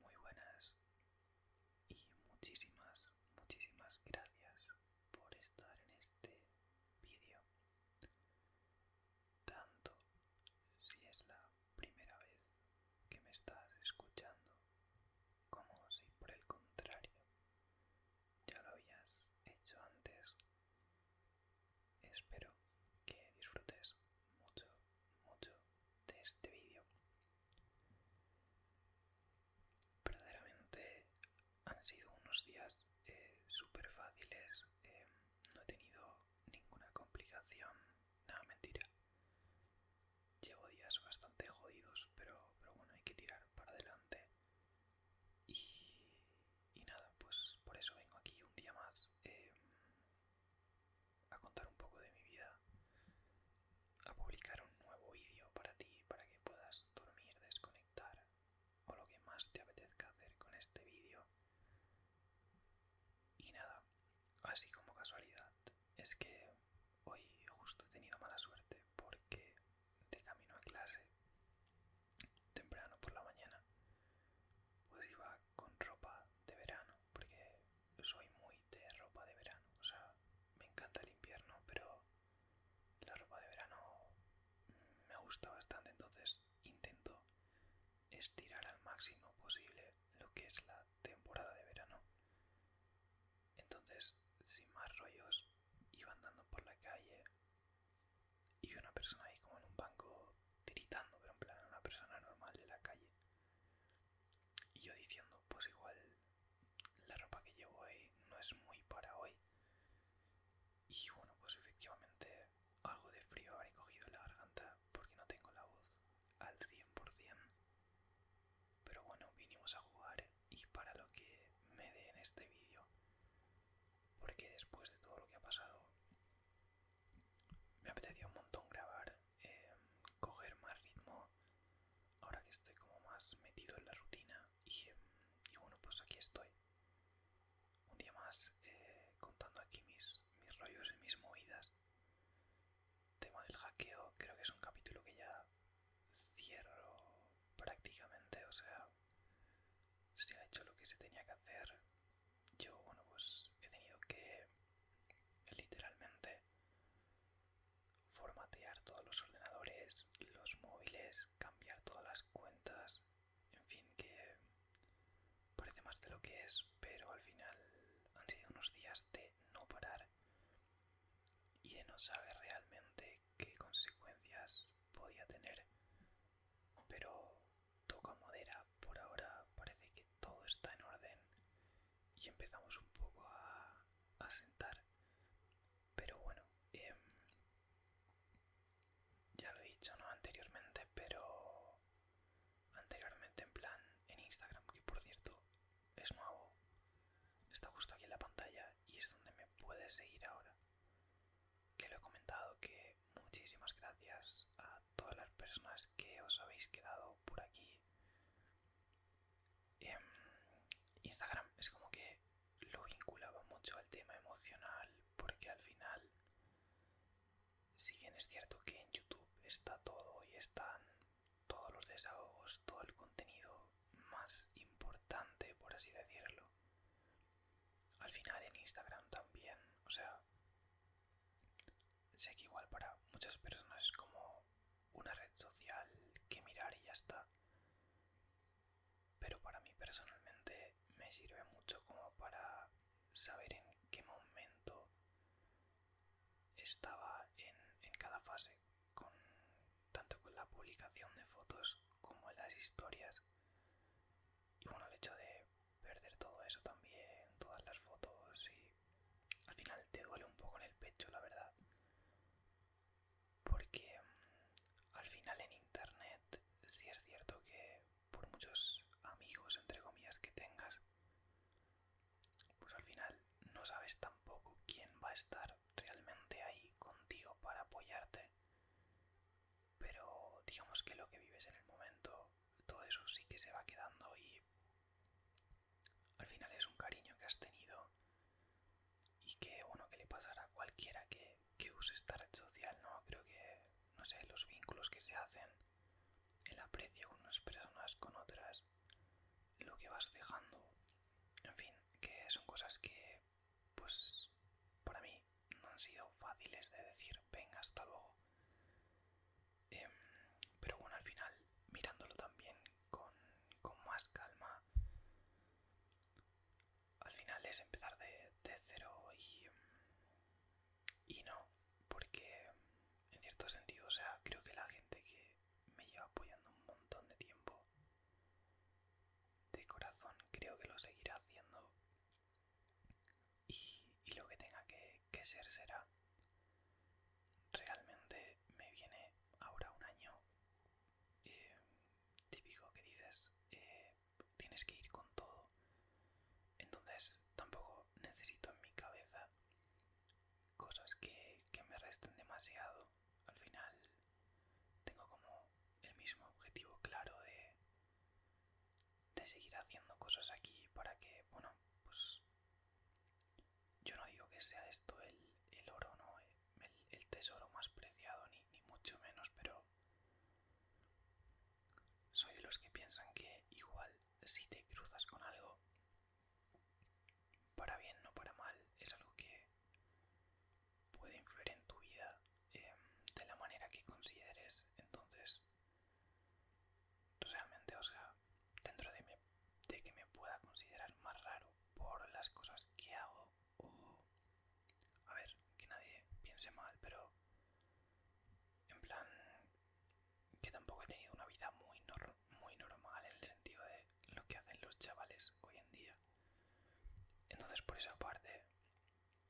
Muy buenas y muchísimas, muchísimas gracias por estar en este vídeo. Tanto si es la primera vez que me estás escuchando como si por el contrario ya lo habías hecho antes Espero que disfrutes mucho, mucho de este vídeo. Verdaderamente han sido unos días eh, súper fáciles. Eh, no he tenido ninguna complicación. Nada, mentira. Llevo días bastante jodidos, pero, pero bueno, hay que tirar para adelante. Y, nada, pues por eso vengo aquí un día más. Eh, a contar un poco de mi vida, a publicar un nuevo vídeo para ti, para que puedas dormir, desconectar o lo que más te apetezca hacer con este vídeo. Y nada, así como casualidad, es que hoy justo he tenido mala suerte porque de camino a clase, temprano por la mañana, pues iba con ropa de verano, porque soy muy de ropa de verano. O sea, me encanta el invierno, pero la ropa de verano me gusta bastante, entonces intento estirar al máximo posible lo que es la temporada de verano. Entonces, sin más rollos, iba andando por la calle y una persona ahí como en un banco gritando pero en plan una persona normal de la calle. Y yo diciendo, pues igual la ropa que llevo ahí no es muy para hoy. Y bueno, pues efectivamente algo de frío habré cogido en la garganta porque no tengo la voz al 100%. Pero bueno, vinimos a jugar y para lo que me dé en este vídeo, porque después de todo lo que ha pasado, me apetecía un montón grabar, em, coger más ritmo, ahora que estoy como más metido en la rutina y, em, bueno, pues aquí estoy. Un día más eh, contando aquí mis, mis rollos y mis movidas. Tema del hackeo, creo que es un capítulo que ya cierro prácticamente, o sea, se ha hecho lo que se tenía que hacer yo, bueno, pues he tenido que literalmente formatear todos los ordenadores, los móviles, cambiar todas las cuentas, en fin, que parece más de lo que es, pero al final han sido unos días de no parar y de no saber realmente qué consecuencias podía tener, pero toca madera, por ahora parece que todo está en orden y empezamos un poco a, sentar. Pero bueno, em, ya lo he dicho no anteriormente, pero anteriormente en plan en Instagram, que por cierto es nuevo, está justo aquí en la pantalla y es donde me puedes seguir ahora. Que lo he comentado que muchísimas gracias a todas las personas que os habéis quedado por aquí. Em, Instagram es como que lo vinculaba mucho al tema emocional porque al final, si bien es cierto que en YouTube está todo y están todos los desahogos, todo el contenido más importante, por así decirlo, al final en Instagram también, o sea, sé que igual para muchas personas es como una red social que mirar y ya está. Pero para mí personalmente me sirve mucho como para saber en qué momento estaba en, cada fase, tanto con la publicación de fotos como en las historias. Y bueno, el hecho de perder todo eso también, todas las fotos y al final te duele un poco en el pecho, la verdad. Porque mm, al final en internet sí es cierto que por muchos amigos, entre comillas, que tengas, pues al final no sabes tampoco quién va a estar realmente ahí contigo para apoyarte pero digamos que lo que vives en el momento, todo eso sí que se va quedando y al final es un cariño que has tenido y que bueno que le pasará a cualquiera que, que use esta red social, ¿no? Creo que, no sé, los vínculos que se hacen, el aprecio con unas personas, con otras, lo que vas dejando, en fin, que son cosas que pues para mí no han sido fáciles de decir venga hasta luego em, pero bueno al final mirándolo también con, más calma al final es empezar de, de cero y, y no porque en cierto sentido o sea creo que la gente que me lleva apoyando un montón de tiempo de corazón creo que lo seguirá haciendo y, lo que tenga que, ser será. Realmente me viene ahora un año eh, típico que dices, eh, tienes que ir con todo. Entonces tampoco necesito en mi cabeza cosas que, que me resten demasiado. Al final tengo como el mismo objetivo claro de de seguir haciendo cosas aquí para que, bueno, pues yo no digo que sea esto el, oro, ¿no? El, tesoro más preciado, ni, ni mucho menos, pero soy de los que piensan que igual si te cruzas con algo, para bien, no para mal, es algo que puede influir en tu vida Em, de la manera que consideres entonces realmente o sea dentro de, que me pueda considerar más raro por las cosas que hago o a ver que nadie piense mal pero en plan que tampoco he tenido una vida muy, muy normal en el sentido de lo que hacen los chavales hoy en día entonces por esa parte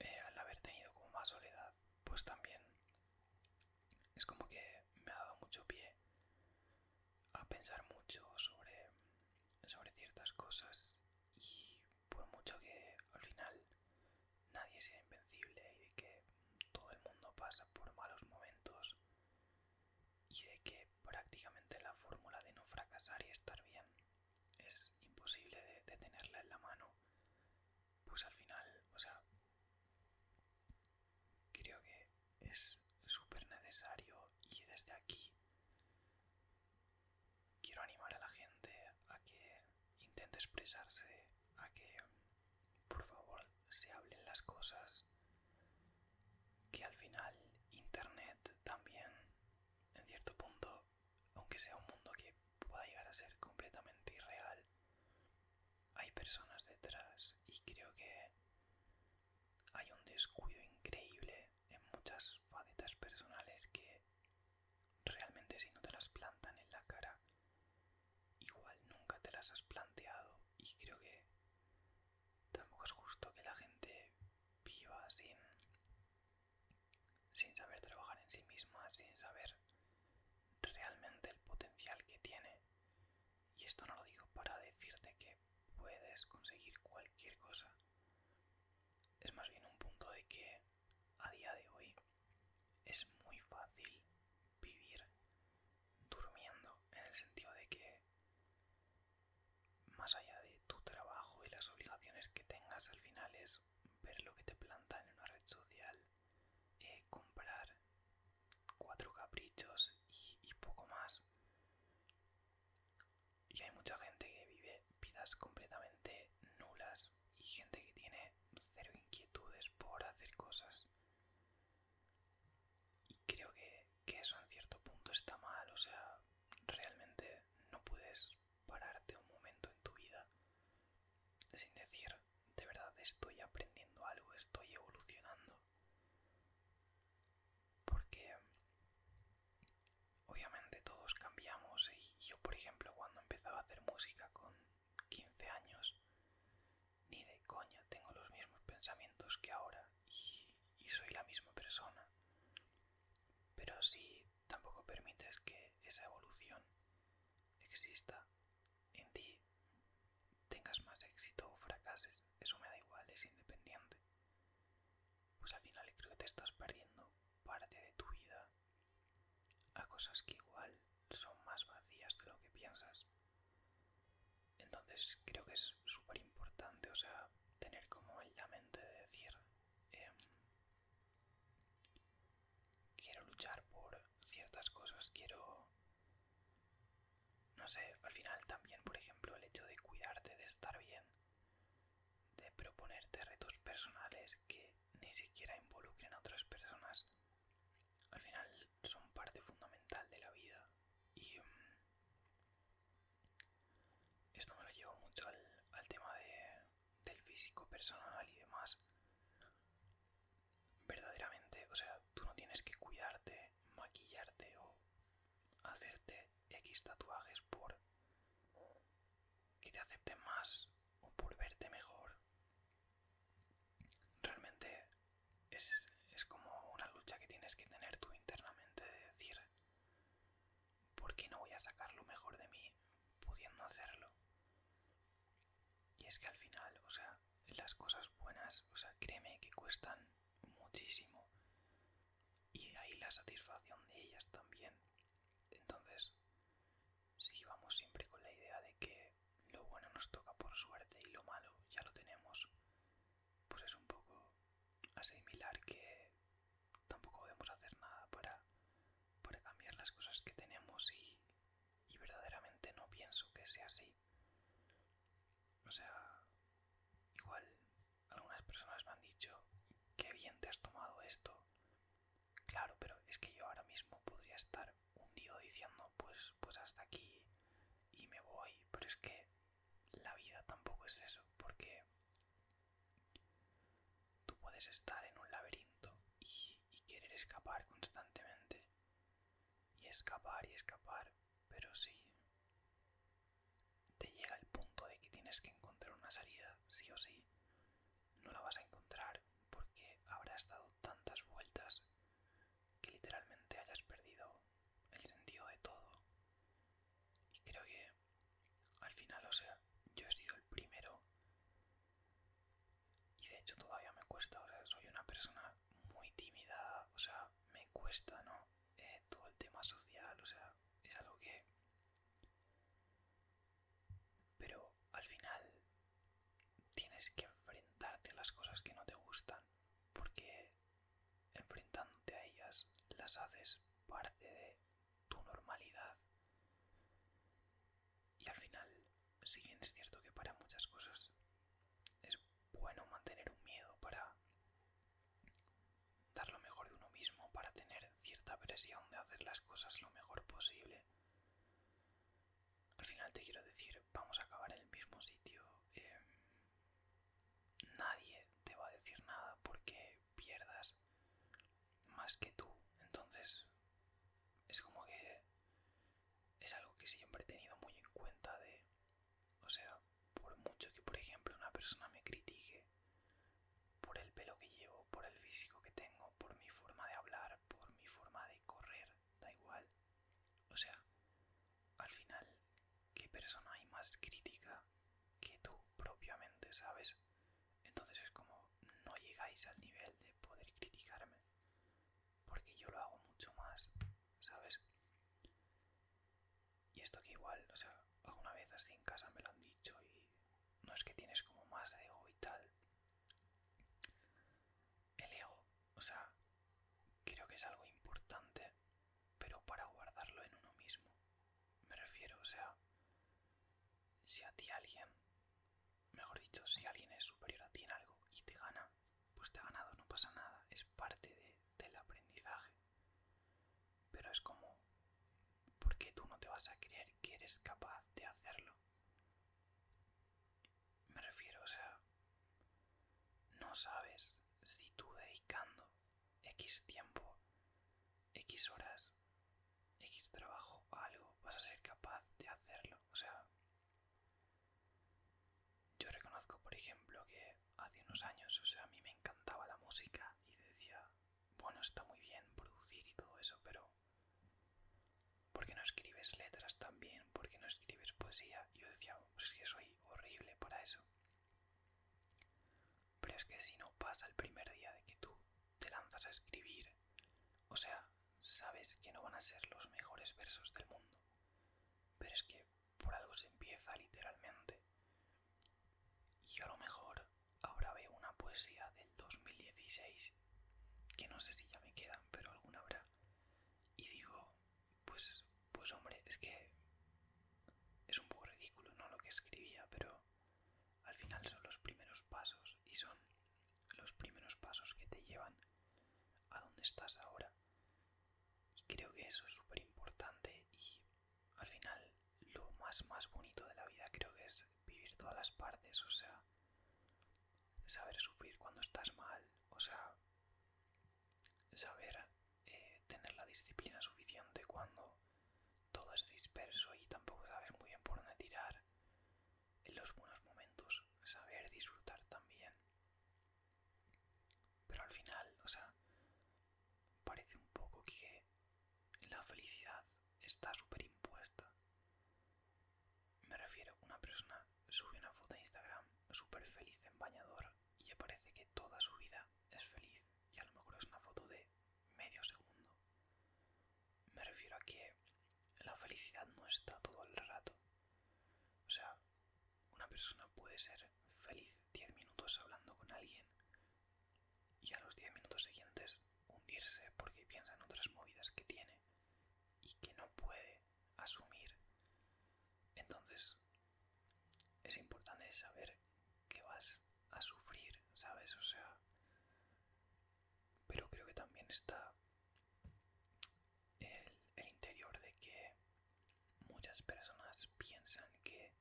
eh, al haber tenido como más soledad, pues también es como que me ha dado mucho pie a pensar mucho sobre, sobre ciertas cosas y por mucho que al final nadie sea invencible y de que todo el mundo pasa por malos momentos y de que prácticamente la fórmula de no fracasar y estar bien es imposible de, tenerla en la mano, pues al final, o sea, creo que es súper necesario y desde aquí quiero animar a la gente a que intente expresarse, a que por favor se hablen las cosas, que al final Internet también en cierto punto aunque sea un mundo que pueda llegar a ser completamente irreal, hay personas detrás y creo que hay un descuido increíble en muchas facetas personales que realmente si no te las plantan en la cara, igual nunca te las has planteado y creo que tampoco es justo que la gente viva sin sin saber trabajar en sí misma, sin saber realmente el potencial que tiene. Y esto no lo digo para decirte que puedes conseguir cualquier cosa. Es más bien un punto de que a día de hoy es muy fácil vivir durmiendo en el sentido de que más allá de tu trabajo y las obligaciones que tengas al final es ver lo que te planta en una red social, eh, comprar cuatro caprichos y, poco más. Y hay mucha gente que vive vidas completamente nulas y gente que tiene cero inquietudes por hacer cosas. Y creo que eso en cierto punto está mal, o sea, realmente no puedes pararte un momento en tu vida sin decir, de verdad estoy aprendiendo algo, estoy evolucionando. Porque obviamente todos cambiamos y yo, por ejemplo, cuando empezaba a hacer música con 15 años, ni de coña tengo los mismos pensamientos que ahora y, soy la misma persona. Pero sí tampoco permites que esa evolución exista en ti, tengas más éxito o fracases, eso me da igual, es independiente. Pues al final creo que te estás perdiendo parte de tu vida a cosas que igual son más vacías de lo que piensas. Entonces creo que es súper importante, o sea, tener como en la mente de decir, em, Quiero luchar por ciertas cosas, quiero... No sé, al final también, por ejemplo, el hecho de cuidarte, de estar bien, de proponerte retos personales que ni siquiera involucren a otras personas, al final son parte fundamental de la vida. Y mm, esto me lo llevo mucho al, tema del físico personal y demás. Verdaderamente, o sea, tú no tienes que cuidarte, maquillarte o hacerte X tatuajes por que te acepten más o por verte mejor. Realmente es, es como una lucha que tienes que tener tú internamente de decir, ¿por no voy a sacar lo mejor de mí pudiendo hacerlo? Y es que al final, o sea, las cosas buenas, o sea, créeme que cuestan muchísimo. Y de ahí la satisfacción de ellas también. Entonces, si vamos siempre con la idea de que lo bueno nos toca por suerte y lo malo ya lo tenemos, pues es un poco asimilar que tampoco podemos hacer nada para, cambiar las cosas que tenemos y, y verdaderamente no pienso que sea así. O sea, igual algunas personas me han dicho, que bien te has tomado esto. Claro, pero es que yo ahora mismo podría estar hundido diciendo, pues, pues hasta aquí y me voy, pero es que la vida tampoco es eso, porque Tú puedes estar en un laberinto y, querer escapar constantemente. Y escapar y escapar, pero si te llega el punto de que tienes que encontrar una salida, sí o sí, no la vas a encontrar porque habrás dado tantas vueltas que literalmente hayas perdido el sentido de todo. Y creo que al final, o sea, yo he sido el primero y de hecho todavía me cuesta, o sea, soy una persona muy tímida, o sea, me cuesta, ¿no? Eh, todo el tema social, o sea, es algo que... Pero al final tienes que enfrentarte a las cosas que no te gustan, porque enfrentándote a ellas las haces parte de tu normalidad. Y al final, si bien es cierto que para muchas cosas es bueno mantener un miedo para dar lo mejor de uno mismo, para tener cierta presión de hacer las cosas lo mejor posible, al final te quiero decir, vamos a acabar en el mismo sitio. Eh, nadie te va a decir nada porque pierdas más que tú. Entonces, es como que es algo que siempre he tenido muy en cuenta de, o sea, por mucho que por ejemplo una persona me critique por el pelo que llevo, por el físico que tengo, por mi forma de hablar, por mi forma de correr, da igual. O sea, al final qué persona hay más crítica que tú propiamente, ¿sabes? Entonces es como no llegáis al nivel de poder criticarme. Porque yo lo hago mucho más, ¿sabes? Y esto que igual, o sea, alguna vez así en casa me lo han dicho y no es que tienes como más ego y tal. El ego, o sea, creo que es algo importante pero para guardarlo en uno mismo. Me refiero, o sea, si a ti alguien, mejor dicho, si alguien es superior a ti en algo y te gana, pues te ha ganado, no pasa nada, es parte del aprendizaje. Pero es como, porque tú no te vas a creer que eres capaz de hacerlo? Me refiero, o sea, no sabes si tú dedicando X tiempo, X horas, X trabajo, algo, vas a ser capaz de hacerlo. O sea, yo reconozco, por ejemplo, que hace unos años, o sea, a mí me encantaba la música y decía, bueno, está muy bien producir y todo eso, pero ¿por qué no escribes letras también? ¿Por qué no escribes poesía? Yo decía, pues es que soy horrible para eso. Pero es que si no pasa el primer día de que tú te lanzas a escribir, o sea, sabes que no van a ser los mejores versos del mundo. Pero es que por algo se empieza literalmente. Y a lo mejor ahora veo una poesía del 2016, que no sé si ya me quedan, pero alguna habrá. Y digo, pues pues hombre, es que es un poco ridículo, ¿no? Lo que escribía, pero al final son los primeros pasos y son los primeros pasos que te llevan a donde estás ahora. Y creo que eso es súper importante y al final lo más más bonito de la vida creo que es vivir todas las partes, o sea, saber sufrir cuando estás mal, o sea, saber eh, tener la disciplina suficiente cuando todo es disperso y tampoco sabes muy bien por dónde tirar en los buenos momentos, saber disfrutar también. Pero al final, o sea, parece un poco que la felicidad está súper impuesta. Me refiero, una persona sube una foto a Instagram súper feliz en bañador y ya parece que toda su vida es feliz y a lo mejor es una foto de medio segundo. Me refiero a que la felicidad no está todo el rato. O sea, una persona puede ser feliz 10 minutos hablando con alguien y a los 10 minutos siguientes hundirse porque piensa en otras movidas que tiene y que no puede asumir. Entonces, es importante saber que vas a sufrir, ¿sabes? O sea, pero creo que también está el, el interior de que muchas personas piensan que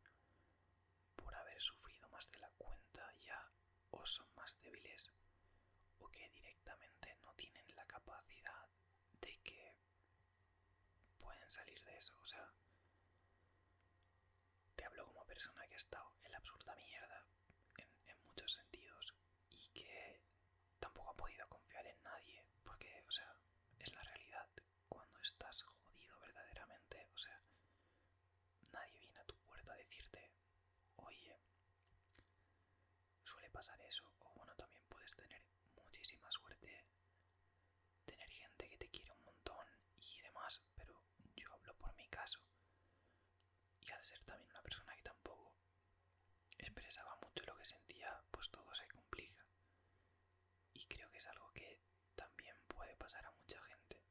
por haber sufrido más de la cuenta ya o son más débiles o que directamente no tienen la capacidad de que pueden salir de eso. O sea, te hablo como persona que ha estado en la absurda mierda en, en muchos sentidos y que tampoco ha podido confiar en nadie porque, o sea, es la realidad. Cuando estás jodido verdaderamente, o sea, nadie viene a tu puerta a decirte, oye, suele pasar eso, o bueno, también puedes tener muchísima suerte tener gente que te quiere un montón y demás, pero yo hablo por mi caso. Y al ser también una persona que tampoco expresaba mucho lo que sentía, pues todo se complica. Y creo que es algo que también puede pasar a mucha gente.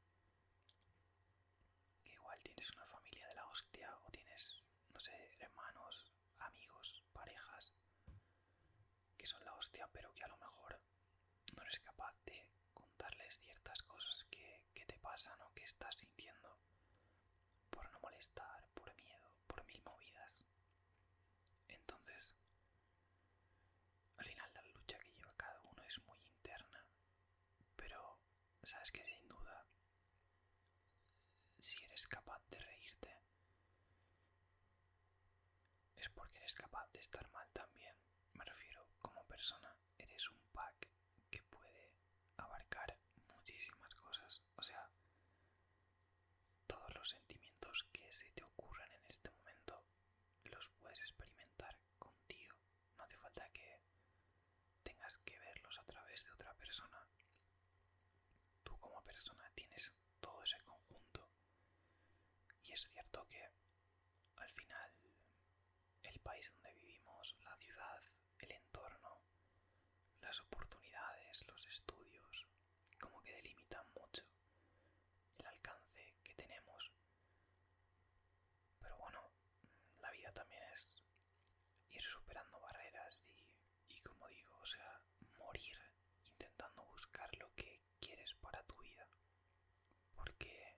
Que igual tienes una familia de la hostia o tienes, no sé, hermanos, amigos, parejas que son la hostia, pero que a lo mejor no eres capaz de contarles ciertas cosas que, que te pasan o que estás sintiendo por no molestar, por miedo, por mil movidas. Entonces, al final la lucha que lleva cada uno es muy interna, pero sabes que sin duda, si eres capaz de reírte, es porque eres capaz de estar mal también. Me refiero, como persona, eres un pack que puede abarcar muchísimas cosas. O sea, todos los sentimientos que se te ocurran en este momento los puedes experimentar contigo. No hace falta que tengas que verlos a través de otra persona. Tú como persona tienes todo ese conjunto y es cierto que al final el país donde vivimos, la ciudad, el entorno, las oportunidades, los estudios, como que delimitan mucho el alcance que tenemos. Pero bueno, la vida también es ir superando barreras y y como digo, o sea, morir intentando buscar lo que quieres para tu vida. Porque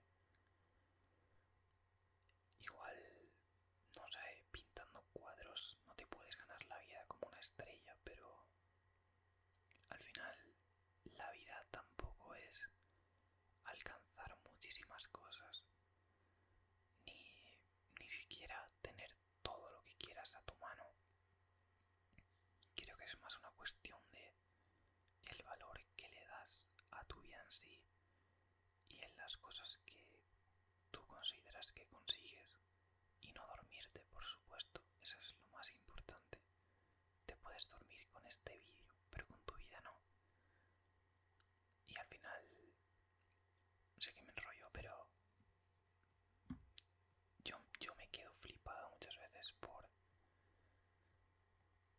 igual, no sé, pintando cuadros no te puedes ganar la vida como una estrella, pero al final la vida tampoco es alcanzar muchísimas cosas, ni, ni siquiera tener todo lo que quieras a tu mano. Creo que es más una cuestión de el valor que le das a tu vida en sí y en las cosas que tú consideras que consigues y no dormirte, por supuesto, eso es lo más importante. Te puedes dormir con este vídeo, pero con tu vida no. Y al final, sé que me enrollo, pero yo, me quedo flipado muchas veces por...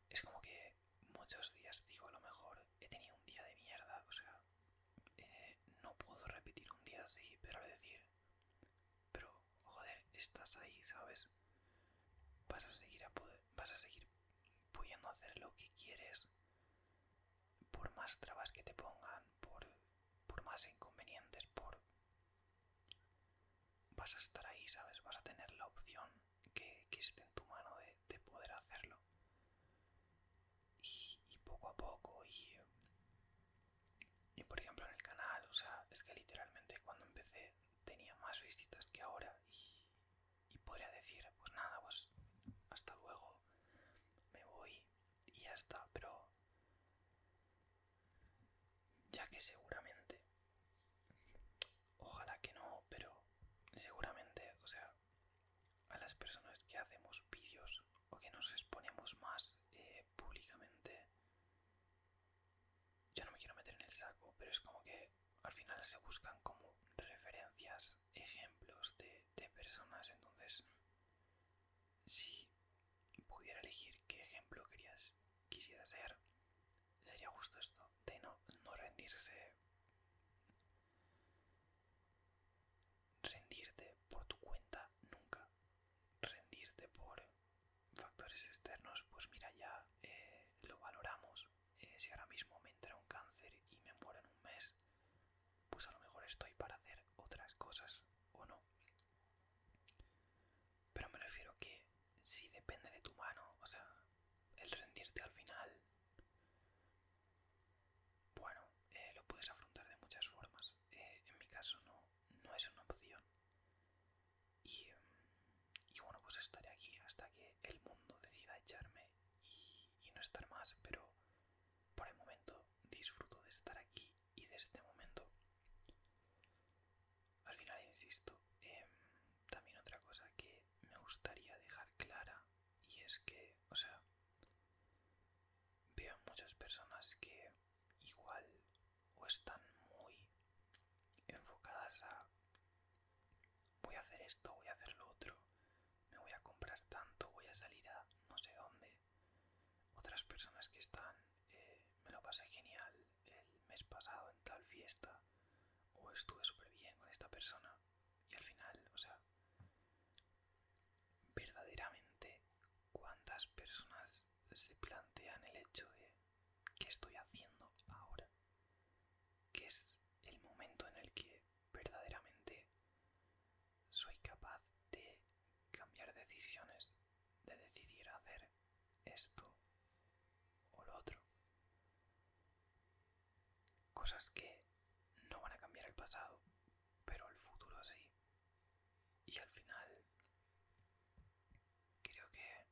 Es como que muchos días digo, a lo mejor he tenido un día de mierda, o sea, eh, no puedo repetir un día así, pero decir, pero joder, estás ahí, ¿sabes? Vas a seguir a poder, vas a seguir pudiendo hacer lo que quieres por más trabas que te pongan, por por más inconvenientes, por... Vas a estar ahí, ¿sabes? Vas a tener la opción que, esté en tu mano de, poder hacerlo. Y, poco a poco, y, y por ejemplo en el canal, o sea, es que literalmente cuando empecé tenía más visitas que ahora y, y podría decir, pues nada, pues hasta luego, me voy y ya está, pero ya que seguramente ojalá que no pero seguramente o sea a las personas que hacemos vídeos o que nos exponemos más eh, públicamente yo no me quiero meter en el saco pero es como que al final se buscan como referencias ejemplos de, de personas entonces si pudiera elegir qué ejemplo querías, quisiera ser, sería justo esto, de no, no rendirse. Rendirte por tu cuenta nunca. Rendirte por factores externos, pues mira, ya eh, lo valoramos. Eh, si ahora mismo me entra un cáncer y me muero en un mes, pues a lo mejor estoy para hacer otras cosas o no. Pero me refiero que si depende de tu mano, o sea, el rendirte al final, bueno, eh, lo puedes afrontar de muchas formas. Eh, en mi caso no, no es una opción. Y, bueno, pues estaré aquí hasta que el mundo decida echarme y no estar más, pero por el momento disfruto de estar aquí y de este momento. Al final, insisto, em, también otra cosa que me gustaría dejar clara y es que, o sea, veo muchas personas que igual o están muy enfocadas a voy a hacer esto, voy a hacer lo otro, me voy a comprar tanto, voy a salir a no sé dónde, eh, otras personas que están. Eh, me lo pasé genial el mes pasado en tal fiesta o estuve súper bien con esta persona y al final, o sea, verdaderamente cuántas personas se plantean el hecho de qué estoy haciendo ahora, que es el momento en el que verdaderamente soy capaz de cambiar decisiones, de decidir hacer esto o lo otro. Cosas que no van a cambiar el pasado, pero el futuro sí. Y al final, creo que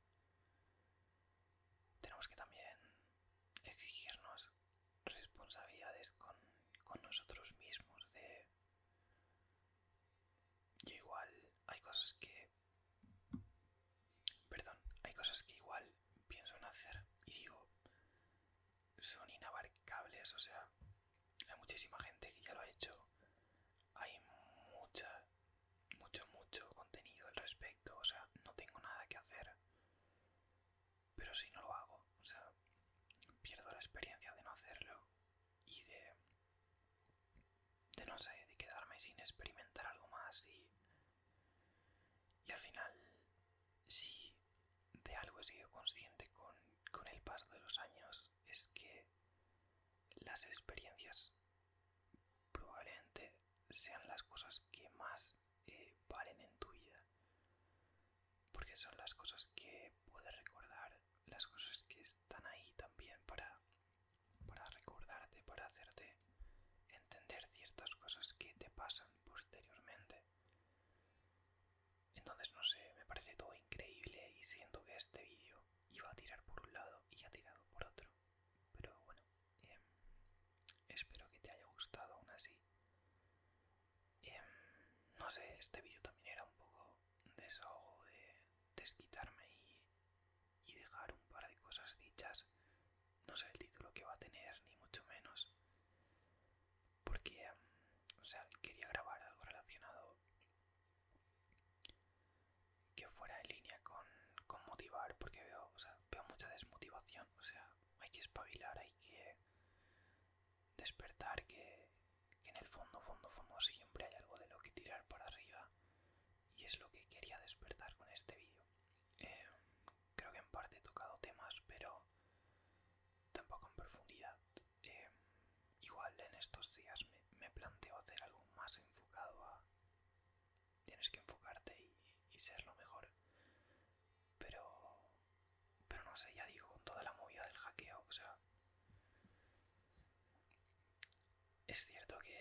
tenemos que también exigirnos responsabilidades con, con nosotros mismos de yo igual hay cosas que... Perdón, hay cosas que igual pienso en hacer y digo, son inabarcables, o sea, hay muchísima gente que ya lo ha hecho, hay mucha, mucho, mucho contenido al respecto, o sea, no tengo nada que hacer. Pero si no lo hago, o sea, pierdo la experiencia de no hacerlo y de, de no sé, de quedarme sin experimentar algo más y, y al final, si de algo he sido consciente con, el paso de los años, es que las experiencias probablemente sean las cosas que más eh, valen en tu vida porque son las cosas que puedes recordar, las cosas que están ahí también para, para recordarte, para hacerte entender ciertas cosas que te pasan posteriormente. Entonces no sé, me parece todo increíble y siento que este vídeo iba a tirar por un lado y ha tirado por otro. Pero bueno, em, espero que te haya gustado aún así. Em, no sé, este vídeo también era un poco desahogo de desquitarme y, dejar un par de cosas dichas. No sé el título que va a tener, ni mucho menos. Porque, em, o sea, quería grabar algo relacionado que fuera en línea con, motivar, porque veo, veo mucha desmotivación. O sea, hay que espabilar, hay que despertar que, en el fondo, fondo, fondo siempre hay algo de lo que tirar para arriba y es lo que quería despertar con este vídeo. Eh, creo que en parte he tocado temas, pero tampoco en profundidad. Eh, igual en estos días me, me, planteo hacer algo más enfocado a... Tienes que enfocarte y, y ser lo mejor. Pero... Pero no sé, ya digo, con toda la movida del hackeo, o sea... Es cierto que,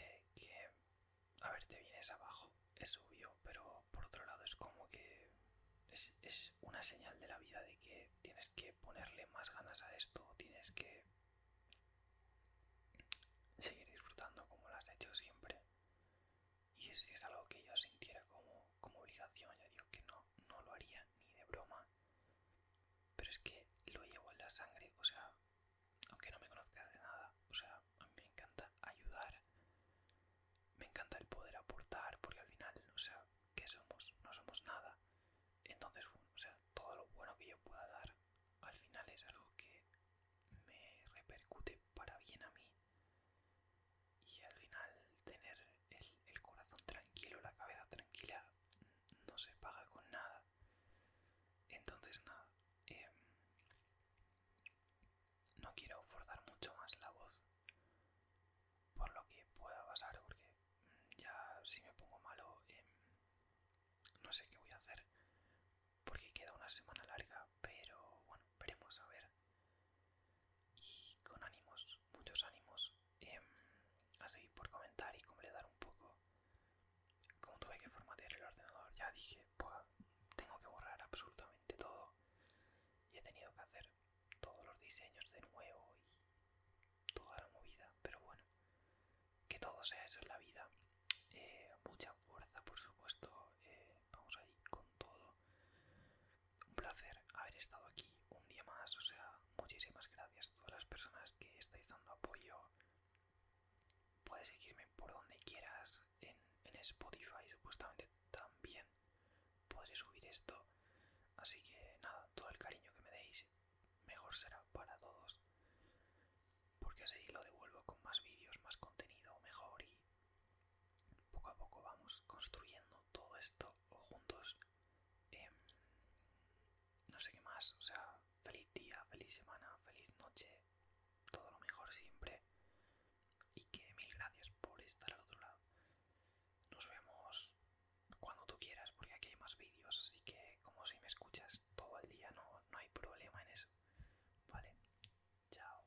A ver, te vienes abajo, es obvio, pero por otro lado es como que... Es, una señal de la vida de que tienes que ponerle más ganas a esto, tienes que seguir disfrutando como lo has hecho siempre. Y si es algo que yo sintiera como, como obligación, ya digo que no, no lo haría ni de broma. Pero es que lo llevo en la sangre, o sea, aunque no me conozca de nada, o sea, a mí me encanta ayudar. Me encanta el poder aportar, porque al final, o sea, ¿qué somos? No somos nada. Entonces, o sea, todo lo bueno que yo pueda dar, al final es algo que me repercute para bien a mí y al final tener el, corazón tranquilo, la cabeza tranquila, no se paga con nada. Entonces nada, em, no quiero forzar mucho más la voz por lo que pueda pasar, porque mm, ya si me pongo malo em, no sé qué voy a hacer, porque queda una semana larga, pero bueno, veremos a ver y con ánimos, muchos ánimos, em, a seguir por comentar y completar un poco como tuve que formatear el ordenador, ya dije, pues tengo que borrar absolutamente todo y he tenido que hacer todos los diseños de nuevo y toda la movida, pero bueno, que todo sea eso en la vida. Eh, mucha fuerza, por supuesto, eh, vamos a ir con todo un placer haber estado aquí un día más. O sea, muchísimas gracias a todas las personas que estáis dando apoyo. Puedes seguirme por donde quieras en, Spotify, supuestamente también podré subir esto. Así que nada, todo el cariño que me deis mejor será para todos. Porque así lo devuelvo con más vídeos, más contenido, mejor y poco a poco vamos construyendo todo esto juntos. Em, no sé qué más, o sea, feliz día, feliz semana, feliz noche, todo lo mejor siempre. Y que mil gracias por estar al otro lado. Nos vemos cuando tú quieras, porque aquí hay más vídeos, así que como si me escuchas todo el día, no, no hay problema en eso. Vale, chao.